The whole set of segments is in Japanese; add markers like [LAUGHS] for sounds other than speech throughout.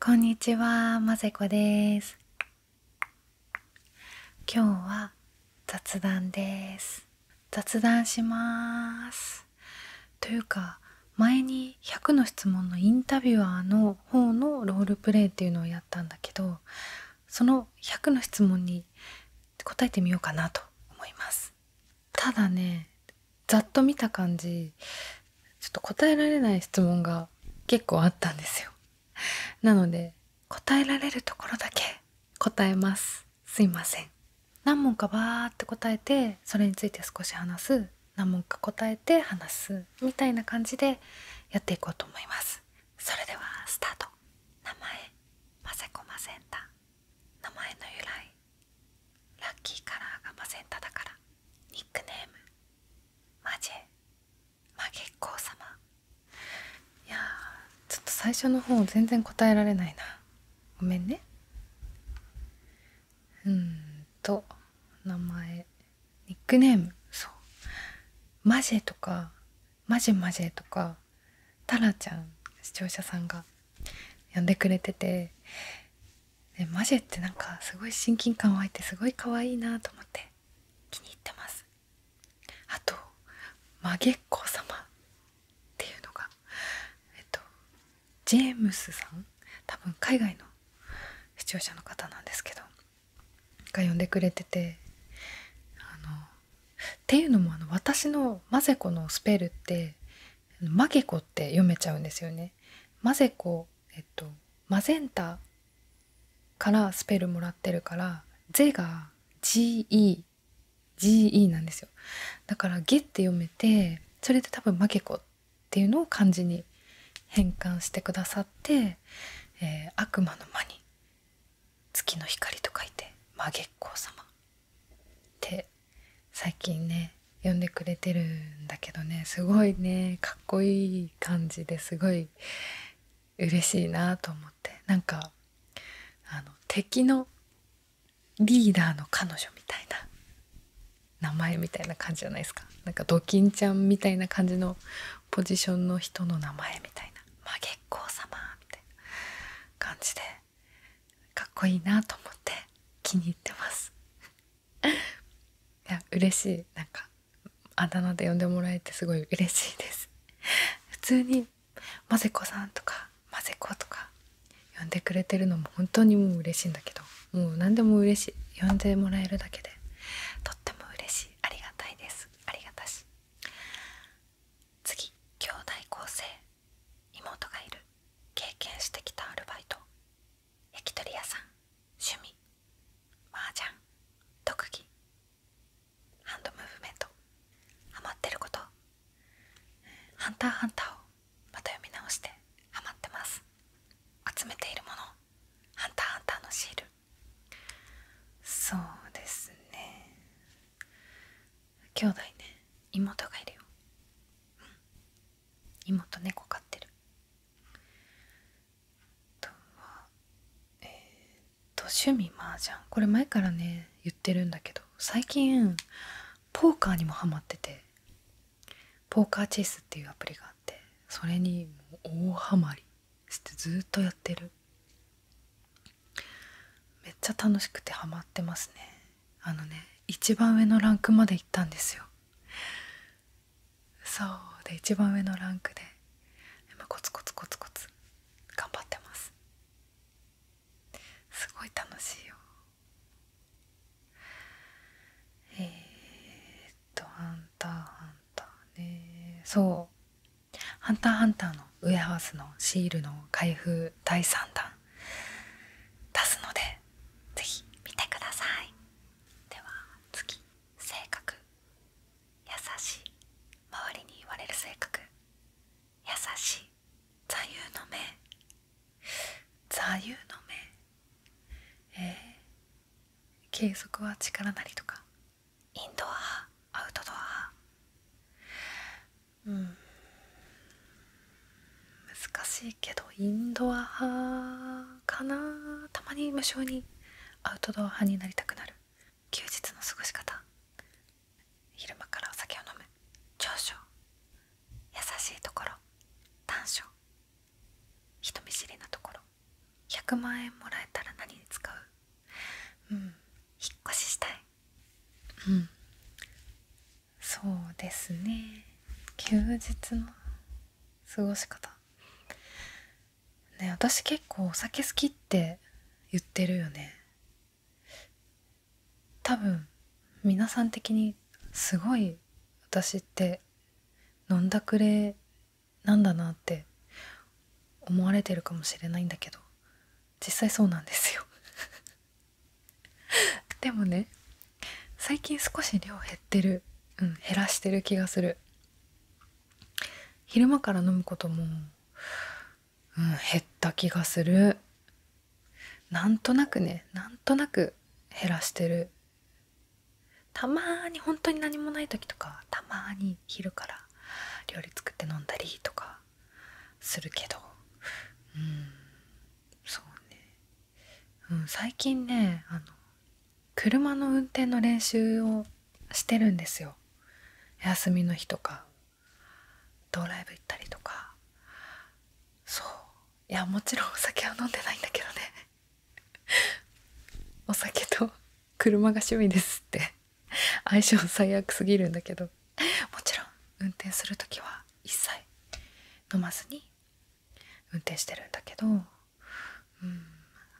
こんにちは、まぜこです今日は雑談です雑談しますというか前に100の質問のインタビュアーの方のロールプレイっていうのをやったんだけどその100の質問に答えてみようかなと思いますただねざっと見た感じちょっと答えられない質問が結構あったんですよなので答えられるところだけ答えますすいません何問かバーって答えてそれについて少し話す何問か答えて話すみたいな感じでやっていこうと思いますそれではスタート名前マセコマセン名前の由来ラッキーカラーがマセンタだからニックネームマジまあ月光様いやちょっと最初の方全然答えられないなごめんねうんと名前ニックネームそうマジェとかマジマジェとかタラちゃん視聴者さんが呼んでくれててでマジェってなんかすごい親近感湧いてすごい可愛いなと思って気に入ってますあとマゲッコ様っていうのがえっとジェームスさん多分海外の視聴者の方なんですけどが呼んでくれててあのっていうのもあの私のマゼコのスペルってマゲコって読めちゃうんですよねマゼコ、えっと、マゼンタからスペルもらってるから「ゼ」が GE「GE」なんですよだから「ゲ」って読めてそれで多分「マケコ」っていうのを漢字に変換してくださって「えー、悪魔の間に月の光」と書いて「マゲッコ様」って最近ね呼んでくれてるんだけどねすごいねかっこいい感じですごい嬉しいなと思ってなんかあの敵のリーダーの彼女みたいな名前みたいな感じじゃないですかなんかドキンちゃんみたいな感じのポジションの人の名前みたいな「まあ、月光様」みたいな感じでかっこいいなと思って気に入ってます。いや嬉しいなんかあだ名で呼んでもらえてすごい嬉しいです [LAUGHS] 普通に「まぜこさん」とか「まぜこ」とか呼んでくれてるのも本当にもう嬉しいんだけどもう何でも嬉しい呼んでもらえるだけでとっても嬉しいありがたいですありがたし次兄弟構成妹がいる経験してきたアルバイト焼き鳥屋さん趣味麻雀特技ハンドムーブメントハマってること「ハンターハンター」をまた読み直してハマってます集めているもの「ハンターハンター」のシールそうですね兄弟ね妹がいるよ、うん、妹猫飼ってるえっと趣味麻雀これ前からね言ってるんだけど最近ポーカーにもハマっててポーカーチェイスっていうアプリがあってそれに大ハマりしてずっとやってるめっちゃ楽しくてハマってますねあのね一番上のランクまで行ったんですよそうで一番上のランクで今コツコツコツコツ頑張ってますすごい楽しいよえー、っと「ハンターハンターね」そう「ハンターハンター」のウェハウスのシールの開封第3弾出すのでぜひ見てくださいでは次性格優しい周りに言われる性格優しい座右の銘座右の銘えー、計測は力なりとかインドアアウトドアうん難しいけどインドア派かなたまに無性にアウトドア派になりたくなる休日の過ごし方昼間からお酒を飲む長所優しいところ短所人見知りなところ100万円もらえたら何に使ううん引っ越ししたいうんそうですね休日の過ごし方ね私結構お酒好きって言ってるよね多分皆さん的にすごい私って飲んだくれなんだなって思われてるかもしれないんだけど実際そうなんですよ [LAUGHS] でもね最近少し量減ってる、うん、減らしてる気がする昼間から飲むことも、うん、減った気がするなんとなくねなんとなく減らしてるたまーに本当に何もない時とかたまに昼から料理作って飲んだりとかするけどうんそうね、うん、最近ねあの車の運転の練習をしてるんですよ休みの日とかドライブ行ったりとかそういやもちろんお酒は飲んでないんだけどね [LAUGHS] お酒と車が趣味ですって相性最悪すぎるんだけどもちろん運転する時は一切飲まずに運転してるんだけどうん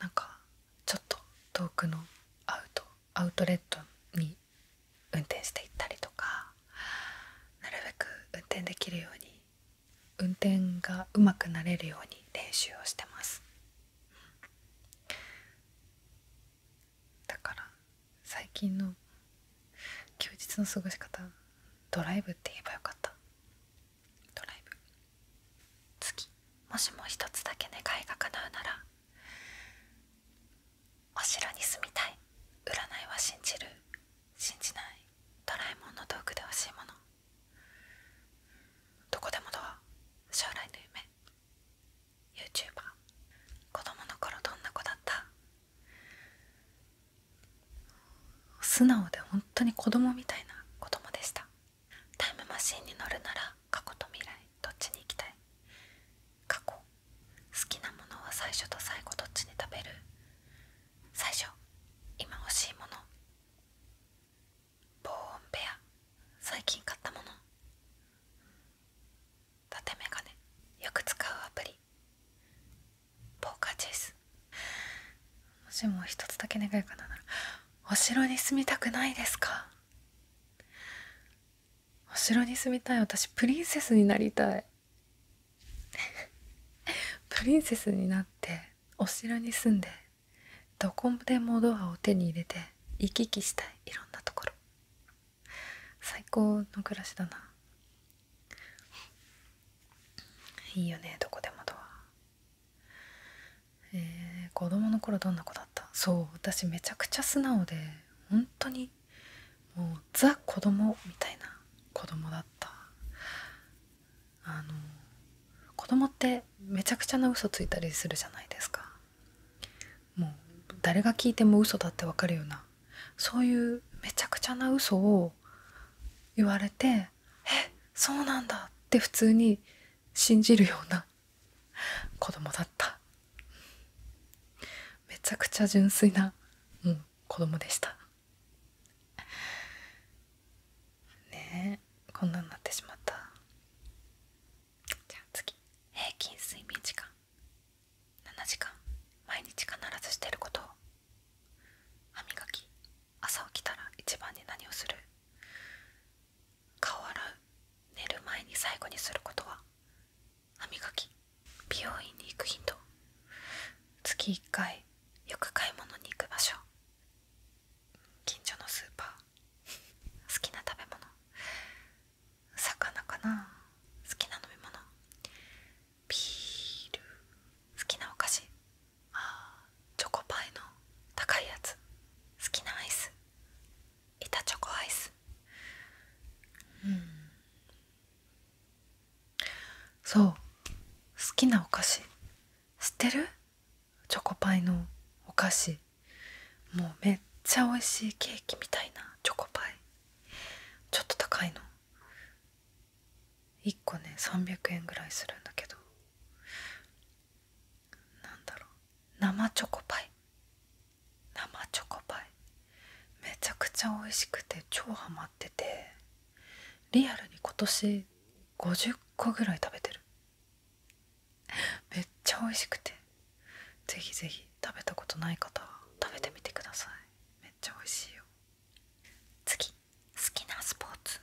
なんかちょっと遠くのアウトアウトレットに運転していったりとかなるべく運転できるように運転がうまくなれるように練習をしてますだから最近の休日の過ごし方ドライブって言えばよかったドライブ次もしも一つだけ願いが叶うならお城に住みたい占いは信じる信じないドラえもんの道具で欲しいものどこでもドア将来の夢 YouTuber 子供の頃どんな子だった素直で本当に子供みたいな子供でしたタイムマシンに乗るなら過去と未来どっちに行きたい過去好きなものは最初と最後どっちに食べる最初今欲しいもの防音部屋最近買ったもの縦眼鏡よく使うアプリポーカチェスもしも一つだけ願いかなならお城に住みたくないですかお城に住みたい私プリンセスになりたい [LAUGHS] プリンセスになってお城に住んでどこでもドアを手に入れて行き来したいいろんなところ最高の暮らしだないいよねどこでもドアえー、子供の頃どんな子だったそう私めちゃくちゃ素直で本当にもうザ子供みたいな子供だったあの子供ってめちゃくちゃな嘘ついたりするじゃないですかもう誰が聞いても嘘だってわかるようなそういうめちゃくちゃな嘘を言われてねえそうなんだって普通に信じるような子供だっためちゃくちゃ純粋な、うん、子供でしたねえこんなんなってしまったじゃあ次平均睡眠時間7時間毎日必ずしてること歯磨き朝起きたら一番で何をする顔洗う寝る前に最後にすることは歯磨き美容院に行くヒント。月1回よく買い物に行く場所近所のスーパー好きな食べ物魚かな好きな飲み物ビール好きなお菓子あチョコパイの高いやつ好きなアイス板チョコアイスうんそう好きなお菓子知ってるチョコパイのお菓子もうめっちゃ美味しいケーキみたいなチョコパイちょっと高いの1個ね300円ぐらいするんだけど何だろう生チョコパイ生チョコパイめちゃくちゃ美味しくて超ハマっててリアルに今年50個ぐらい食べてるめっちゃ美味しくてぜひぜひ食べたことない方は食べてみてくださいめっちゃ美味しいよ次好きなスポーツ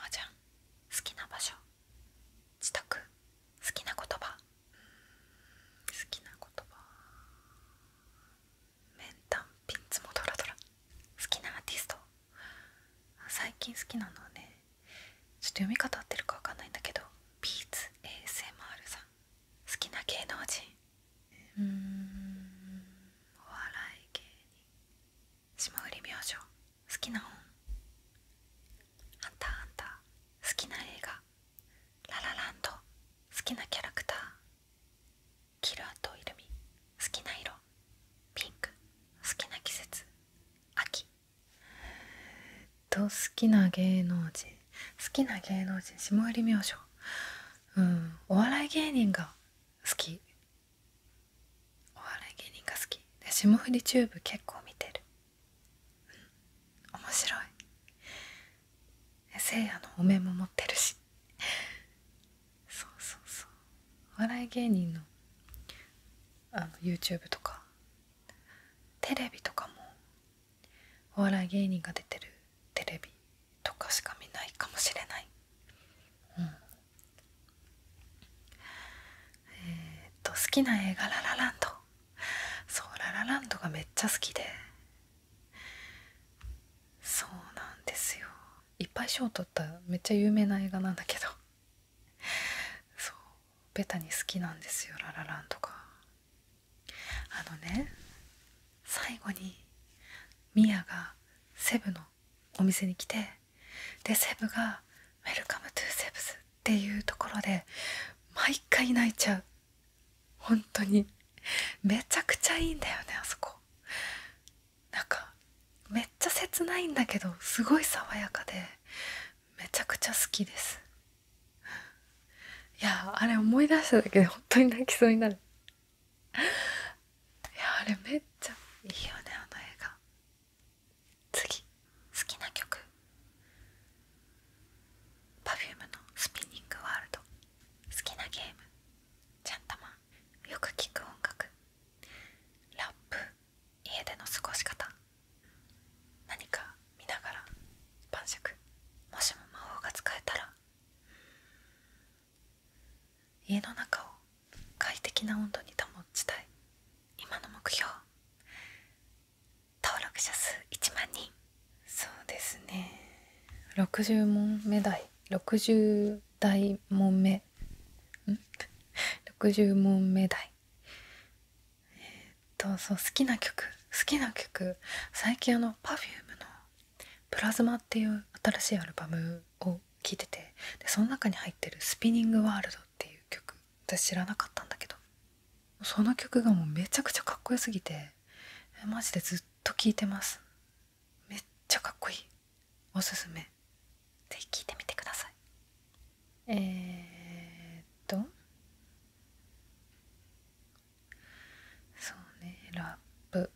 麻雀好きな場所自宅好きな言葉好きな言葉メンタンピッツもドラドラ好きなアーティスト最近好きなのはねちょっと読み方合ってるかわかんないんだけどビーツ ASMR さん好きな芸能人うんお笑い芸人霜降り明星好きな本「ハンターハン好きな映画「ララランド」好きなキャラクターキルアとイルミ好きな色ピンク好きな季節秋と好きな芸能人好きな芸能人霜降り明星うんお笑い芸人が好きお笑い芸人が好きで霜降りチューブ結構見てるうん面白いせいやのお面も持ってるしそうそうそうお笑い芸人のあの YouTube とかテレビとかもお笑い芸人が出てるテレビとかしか見ないかもしれない、うん、えっと好きな映画「ララランド」そう「ララランド」がめっちゃ好きでそうなんですよいっぱい賞を取っためっちゃ有名な映画なんだけどそうベタに好きなんですよ「ララランド」があのね最後にミヤがセブのお店に来てでセブが「ウェルカムトゥセブス」っていうところで毎回泣いちゃう本当にめちゃくちゃいいんだよねあそこなんかめっちゃ切ないんだけどすごい爽やかでめちゃくちゃ好きですいやあれ思い出しただけで本当に泣きそうになるいや、あれめっちゃいいよねあの映画次好きな曲 Perfume の「スピニングワールド」好きなゲームちゃんたまよく聴く音楽ラップ家での過ごし方何か見ながら晩酌もしも魔法が使えたら家の中を快適な温度に保ちたい今の目標登録者数1万人そうですね60問目台60台問目ん60問目台えっとそう好きな曲好きな曲最近あの Perfume のプラズマっていう新しいアルバムを聴いててでその中に入ってる「スピニング・ワールド」っていう曲私知らなかったんだけどその曲がもうめちゃくちゃかっこよすぎてマジでずっと聴いてますめっちゃかっこいいおすすめ是非聴いてみてくださいえっとそうねラップ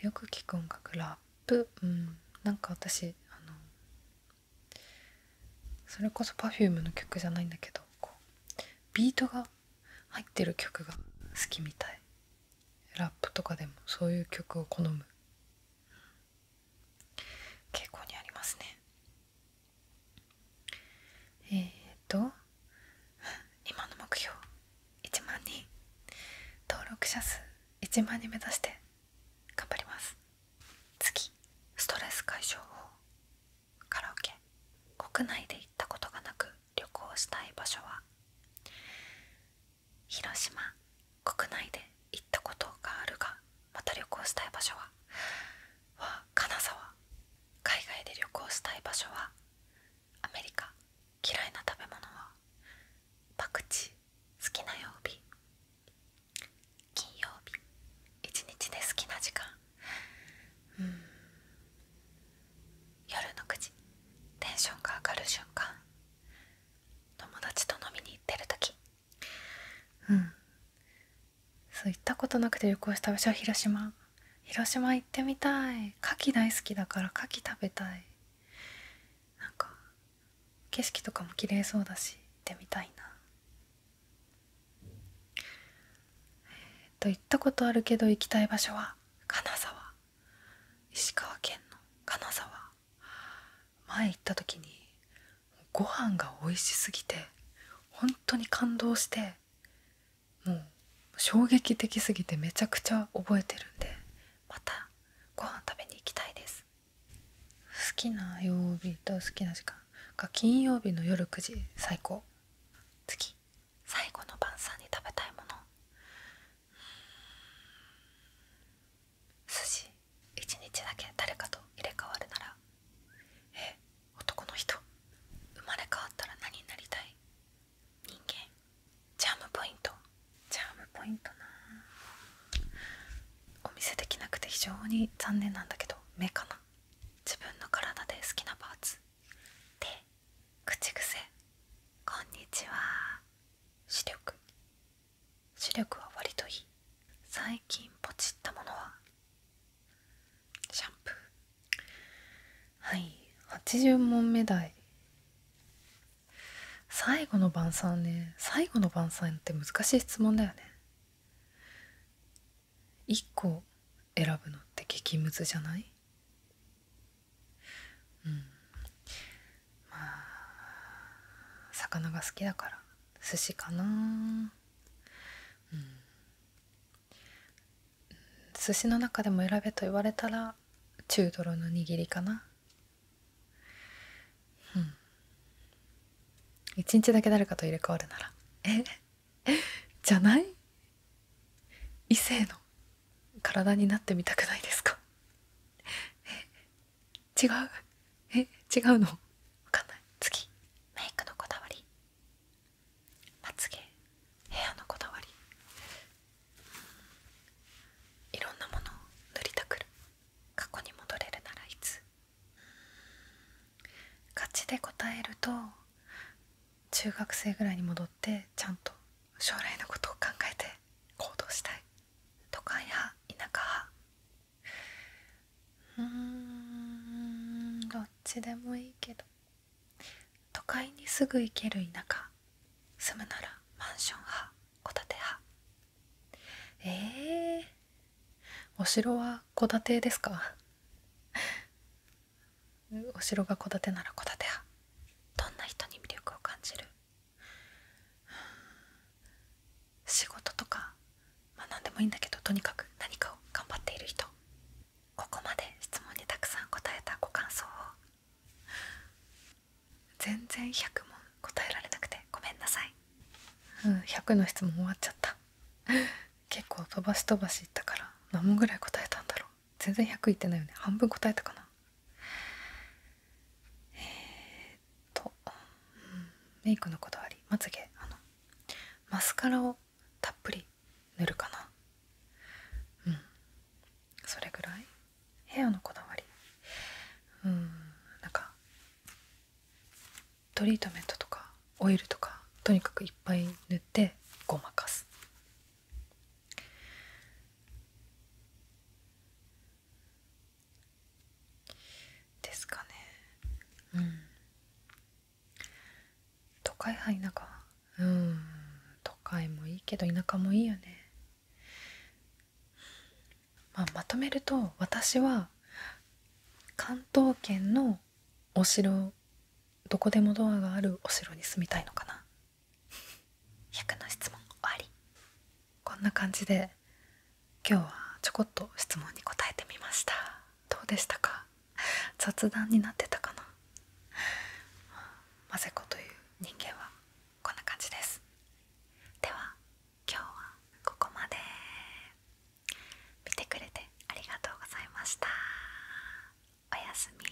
よく聞く音楽ラップうんなんか私あのそれこそ Perfume の曲じゃないんだけどこうビートが入ってる曲が好きみたいラップとかでもそういう曲を好む傾向にありますねえと今の目標1万人登録者数1万人目指して頑張ります次ストレス解消法カラオケ国内で行ったことがなく旅行したい場所は広島国内で行ったことがあるがまた旅行したい場所はは金沢海外で旅行したい場所はアメリカ嫌いな食べ物はパクチー好きな曜日金曜日一日で好きな時間うん夜の9時テンションが上がる瞬間友達と飲みに行ってる時うんそう行ったことなくて旅行した場所は広島広島行ってみたい牡蠣大好きだから牡蠣食べたいなんか景色とかも綺麗そうだし行ってみたいなえっと行ったことあるけど行きたい場所は金沢石川県の金沢前行った時にご飯が美味しすぎて本当に感動してもう衝撃的すぎてめちゃくちゃ覚えてるんでまたご飯食べに行きたいです好きな曜日と好きな時間が金曜日の夜9時最高次最後の晩餐に食べたいもの寿司一日だけ誰かと入れ替わるならえ男の人生まれ変わったら何になりたい人間チャームポイントチャームポイントなお見せできなくて非常に残念なんだけど目かな自分の体で好きなパーツ手口癖こんにちは視力視力は割といい最近ポチったものはシャンプーはい80問目題最後の晩餐ね最後の晩餐って難しい質問だよね1個選ぶのって激ムズじゃないうんまあ魚が好きだから寿司かなうん寿司の中でも選べと言われたら中泥の握りかなうん一日だけ誰かと入れ替わるならえ [LAUGHS] じゃない異性の体になってみたくないですかえ違うえ違うの分かんない次メイクのこだわりまつげ部屋のこだわりいろんなものを塗りたくる過去に戻れるならいつ勝ちで答えると中学生ぐらいに戻ってちゃんと将来のことを考えて行動したい都会や田舎派うんどっちでもいいけど都会にすぐ行ける田舎住むならマンション派戸建て派えお城は戸建てですか [LAUGHS] お城が戸建てなら戸建て派どんな人に魅力を感じる仕事とかまあ何でもいいんだけどとにかく何かを頑張っている人ここまで質問にたくさん答えたご感想を全然100問答えられなくてごめんなさいうん100の質問終わっちゃった [LAUGHS] 結構飛ばし飛ばしいったから何問ぐらい答えたんだろう全然100いってないよね半分答えたかなえー、っと、メイクの断りまつげあのマスカラをたっぷり塗るかなうんそれぐらいヘアのこだわりうんなんかトリートメントとかオイルとかとにかくいっぱい塗ってごまかすですかねうん都会派田舎うん都会もいいけど田舎もいいよね、ままとめると私は関東圏のお城どこでもドアがあるお城に住みたいのかな100の質問終わりこんな感じで今日はちょこっと質問に答えてみましたどうでしたか雑談になってたかなマセコという人間はこんな感じですでは今日はここまで見てくれてありがとうございましたおやすみ